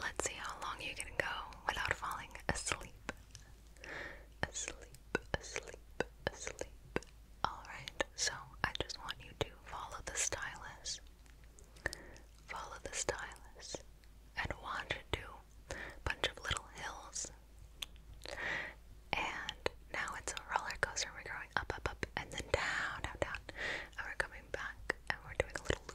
Let's see how long you can go without falling asleep. Asleep, asleep, asleep. Alright, so I just want you to follow the stylus. Follow the stylus and wander to a bunch of little hills. And now it's a roller coaster. We're going up, up, up, and then down, down, down. And we're coming back and we're doing a little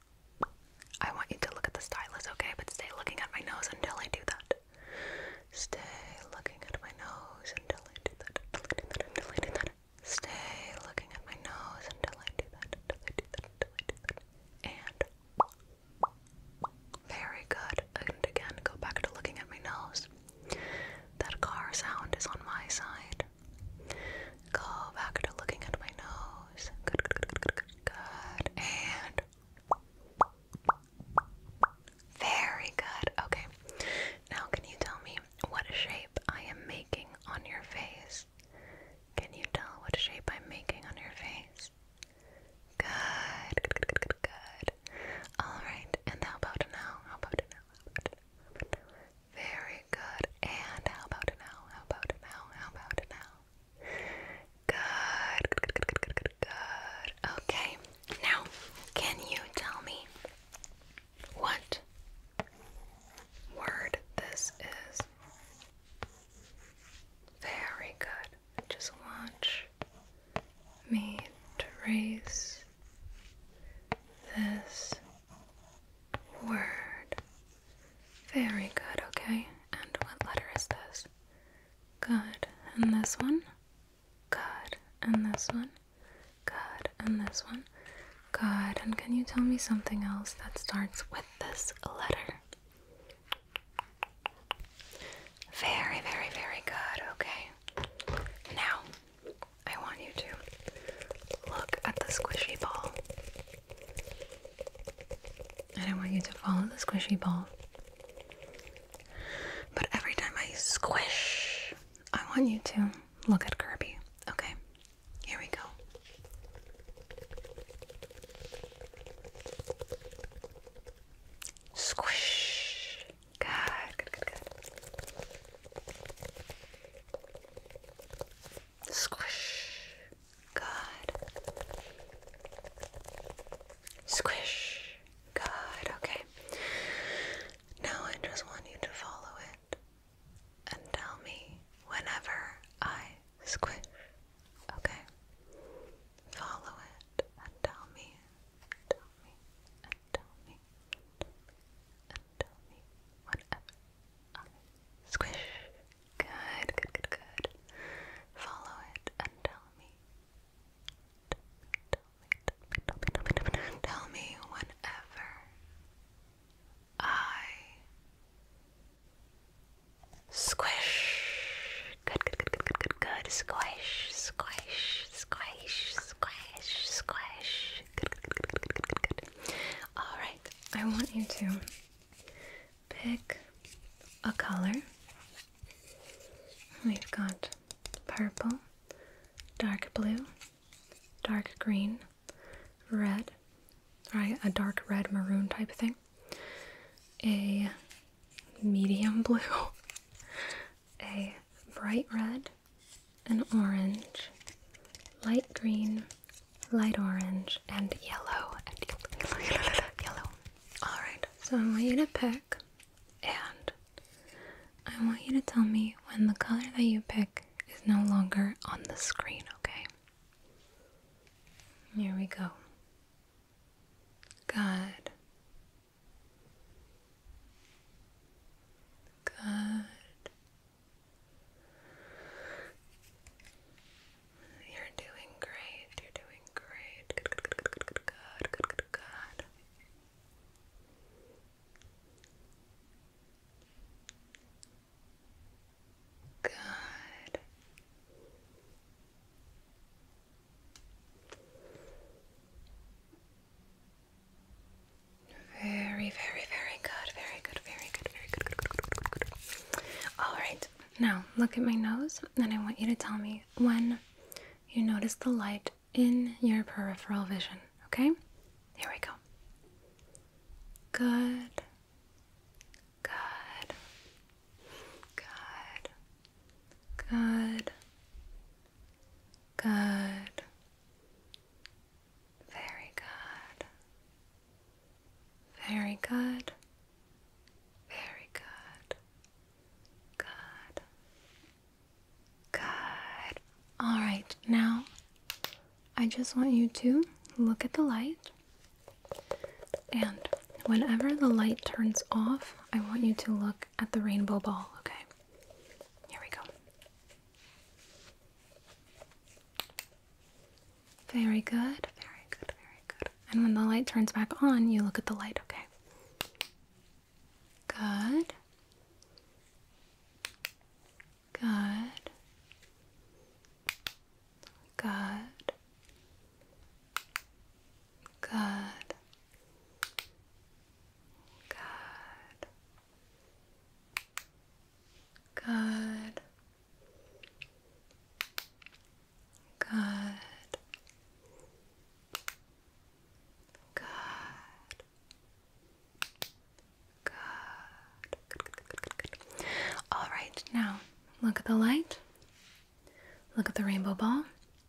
I want you to look at the stylus, okay? But stay looking at my nose until I do that. Stay looking at my nose until I do that. Stay looking at my nose Until I do that. And very good. And again, go back to looking at my nose. That car sound is on my side. Go back to looking at my nose. Good, good, good, good, good, And very good. Okay. Now, can you tell me what shape I am making on your face? Can you tell what shape I'm making on your face? Good, good, good, good, good, All right. And How about now? How about now? Very good. And how about it now? How about it now? How about it now? Good. Good, good, good, good, good, Okay. Now, can you tell me what word this is? Very good. Just watch me trace this Word. Very good, okay. And what letter is this? Good. And this one? Good. And this one? Good. And this one? Good. And can you tell me something else that starts with this letter? Very, very, very good, okay. Now, I want you to look at the squishy ball. And I want you to follow the squishy ball. But every time I squish, I want you to look at Kirby. Okay, here we go. Squish. Good, good, good, good. Squish. Good. Squish. Good, okay. Now I just want you to follow it and tell me whenever I squish. Okay? Follow it and tell me, tell me, tell me and tell me whatever I squish. Good, good, good, good. Follow it and tell me, tell me, tell me, tell me whenever I squish. Good, good, good, good, good, good, good. Squish, squish, squish, squish, squish. All right. I want you to pick a color. We've got purple, dark blue, dark green, red, right? A dark red maroon type thing. A medium blue, a bright red, an orange, light green, light orange, and yellow. And yellow, yellow, Alright, so I want you to pick, and I want you to tell me when the color that you pick is no longer on the screen, okay? Here we go. Good. Good. You're doing great. You're doing great. Good, good, good, good, good, good, good, good, good. Very, very, very good. Very good. Very good. Very good. good, All right. Now look at my nose, and I want you to tell me when you notice the light in your peripheral vision. Okay? Here we go. Good. Good. Good. Good. Good. Very good. Very good. Very good. Good. Good. All right. Now, I just want you to look at the light. And whenever the light turns off, I want you to look at the rainbow ball, okay? Here we go. Very good, very good, very good. And when the light turns back on, you look at the light, okay? Good. Good. Good. Good. Good. Good. Good. Good. Good. Good, good, good, good, good, good. All right, now look at the light. Look at the rainbow ball.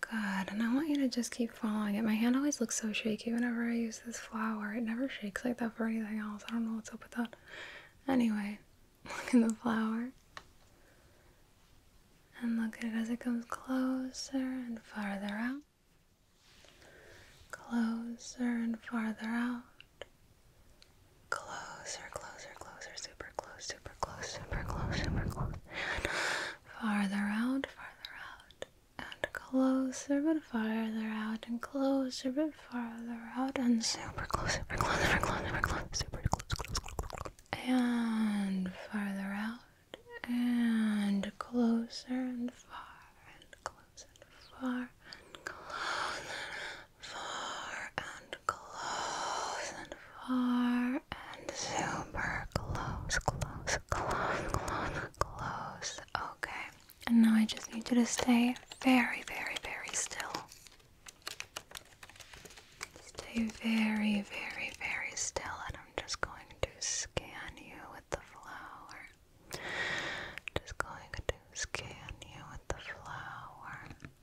Good, and I want you to just keep following it. My hand always looks so shaky whenever I use this flower. It never shakes like that for anything else. I don't know what's up with that. Anyway, look at the flower. And look at it as it comes closer and farther out. Closer and farther out closer, closer, closer, super close, super close, super close, super close. And farther out, farther out, and closer but farther out, and closer but farther out, and super close, super close, super close, super close, super close, close, close, close. And farther out, and closer and far, and closer and far, and closer far and close and far and super close, close, close, close, close. Okay, and now I just need you to stay very, very, very still. Stay very, very, very still, and I'm just going to scan you with the flower. Just going to scan you with the flower.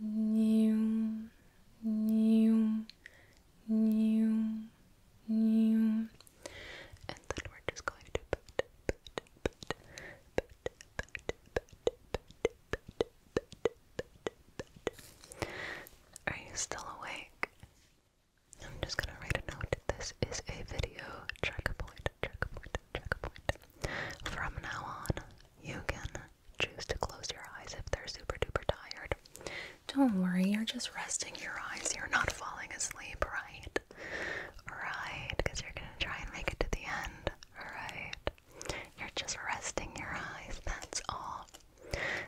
new, new, new, new, and then we're just going to put, put, put, put, put, put, put, put, put. Are you still awake? I'm just gonna write a note. This is a video track point checkpoint, checkpoint. From now on, you can choose to close your eyes if they're super duper tired. Don't worry, you're just resting your eyes. You're not falling asleep, right? Right, because you're gonna try and make it to the end, right? You're just resting your eyes, that's all.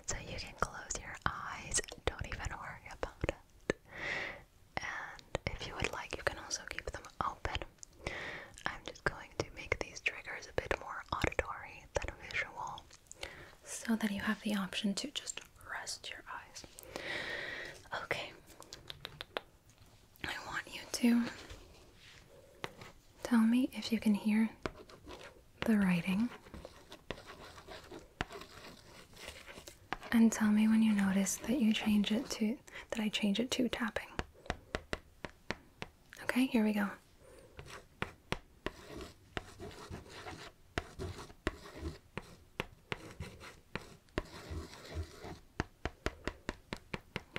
So you can close your eyes, don't even worry about it and if you would like, you can also keep them open. I'm just going to make these triggers a bit more auditory than visual so that you have the option to just rest your eyes. Okay, I want you to tell me if you can hear the writing and tell me when you notice that you change it to that I change it to tapping. Okay, here we go.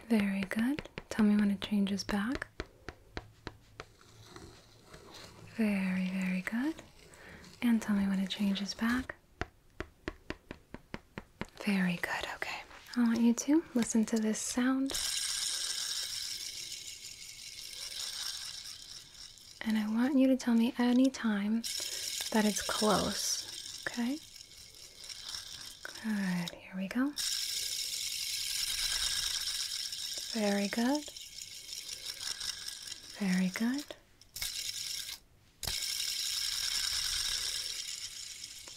Very good. Tell me when it changes back. Very, very good. And tell me when it changes back. Very good, okay. I want you to listen to this sound. And I want you to tell me any time that it's close, okay? Good, here we go. Very good. Very good.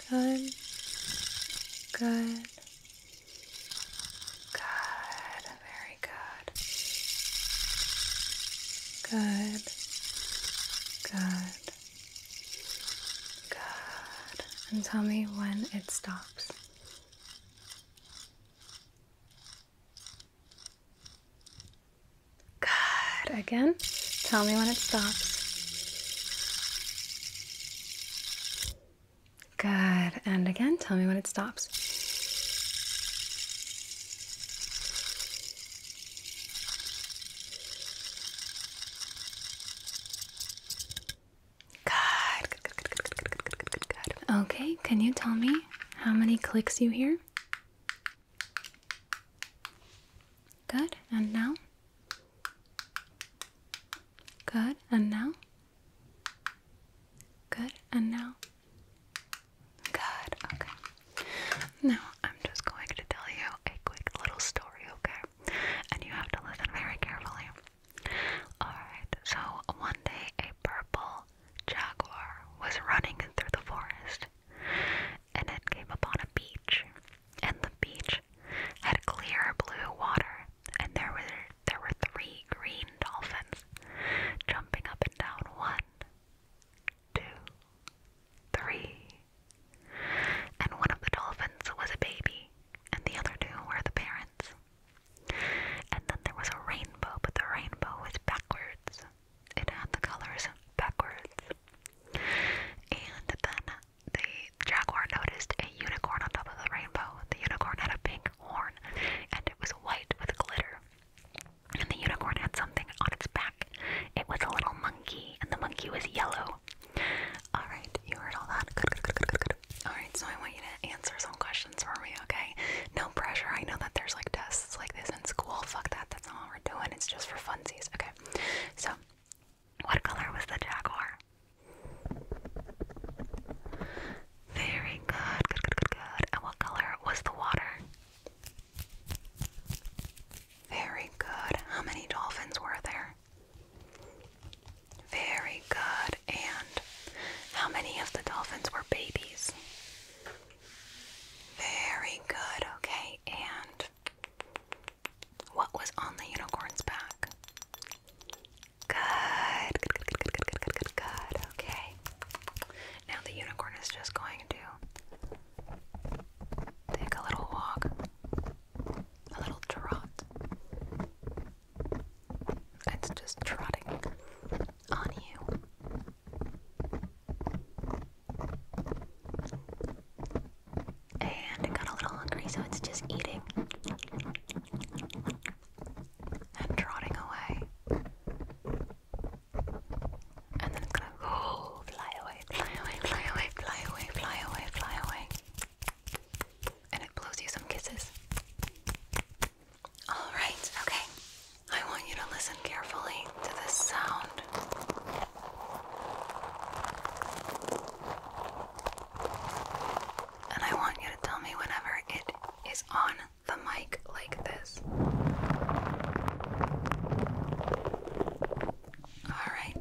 Good. Good. Good. Very good. Good. Good. Good. And tell me when it stops. Good. Again, tell me when it stops. Good. And again, tell me when it stops. Good. Good, good, good, good, good, good, good, good, Okay, can you tell me how many clicks you hear? Good, and now? Good, and now? Good, and now? Good, okay. Now, I'm just going to tell you a quick little story, okay? And you have to listen very carefully. Alright, so one day a purple jaguar was running through the forest, and it came upon a beach, and the beach had clear blue water, and there were there were three green dolphins jumping up and down. One, two, three. And one of the dolphins was a baby, and the other two were the parents. And then there was a rainbow, but the rainbow was backwards it had the colors backwards. And then the jaguar noticed a unicorn on top of the rainbow. The unicorn had a pink horn and it was white with glitter. And the unicorn had something on its back. It was a little monkey, and the monkey was yellow. Alright, you heard all that? Good, good, good, good, good. Alright, so I want you to answer some questions for me, okay? No pressure. I know that there's like tests like this in school. Fuck that. That's not what we're doing. It's just for funsies, okay? So, what color was the jaguar? Very good. Good, good, good, good. And what color was the water? Very good. How many dolphins were there? Very good. And how many of the dolphins were babies? Very good, okay, and what was on the unicorn's back? Good, good, good, good, good, good, good, okay. Now the unicorn is just going to take a little walk, a little trot. It's just trotting on you. And I got a little hungry, so it's just eating and trotting away. And then it's gonna oh, fly away, fly away, fly away, fly away, fly away, fly away. And it blows you some kisses. Alright, okay. I want you to listen carefully to this sound. And I want you to tell me whenever it is on the mic like this. Alright,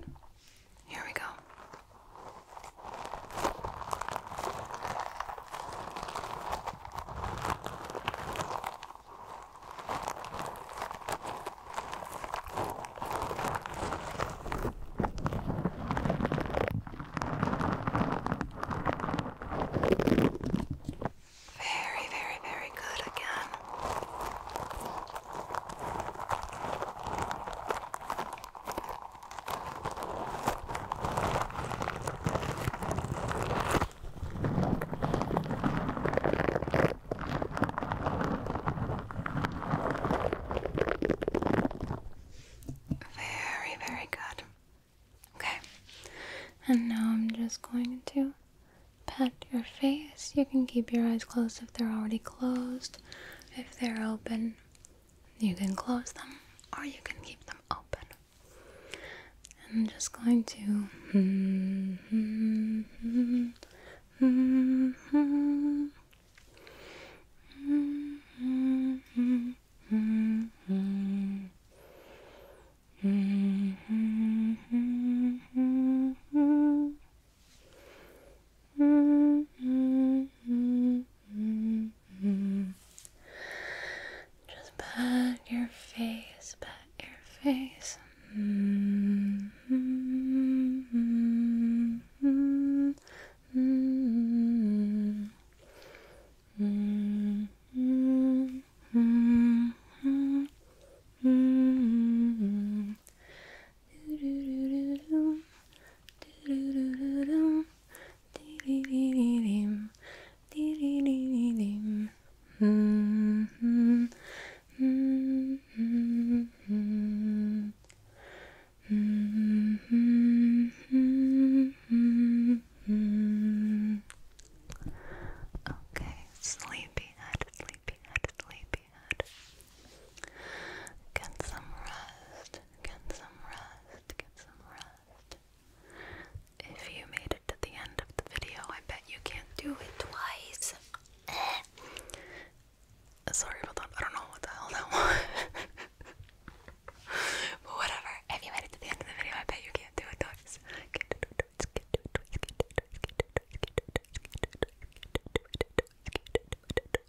here we go. Very, very, very good again. Very, very good. Okay, and now I'm just going to pat your face. You can keep your eyes closed if they're already closed. If they're open, you can close them or you can keep them open. I'm just going to. -hmm. Just pat your face, pat your face. Okay, sleepyhead, sleepyhead, sleepyhead. Get some rest. Get some rest, get some rest. If you made it to the end of the video, I bet you can't do it twice. Sorry about that. I don't know what the hell that but whatever. If you made it to the end of the video, I bet you can't do it twice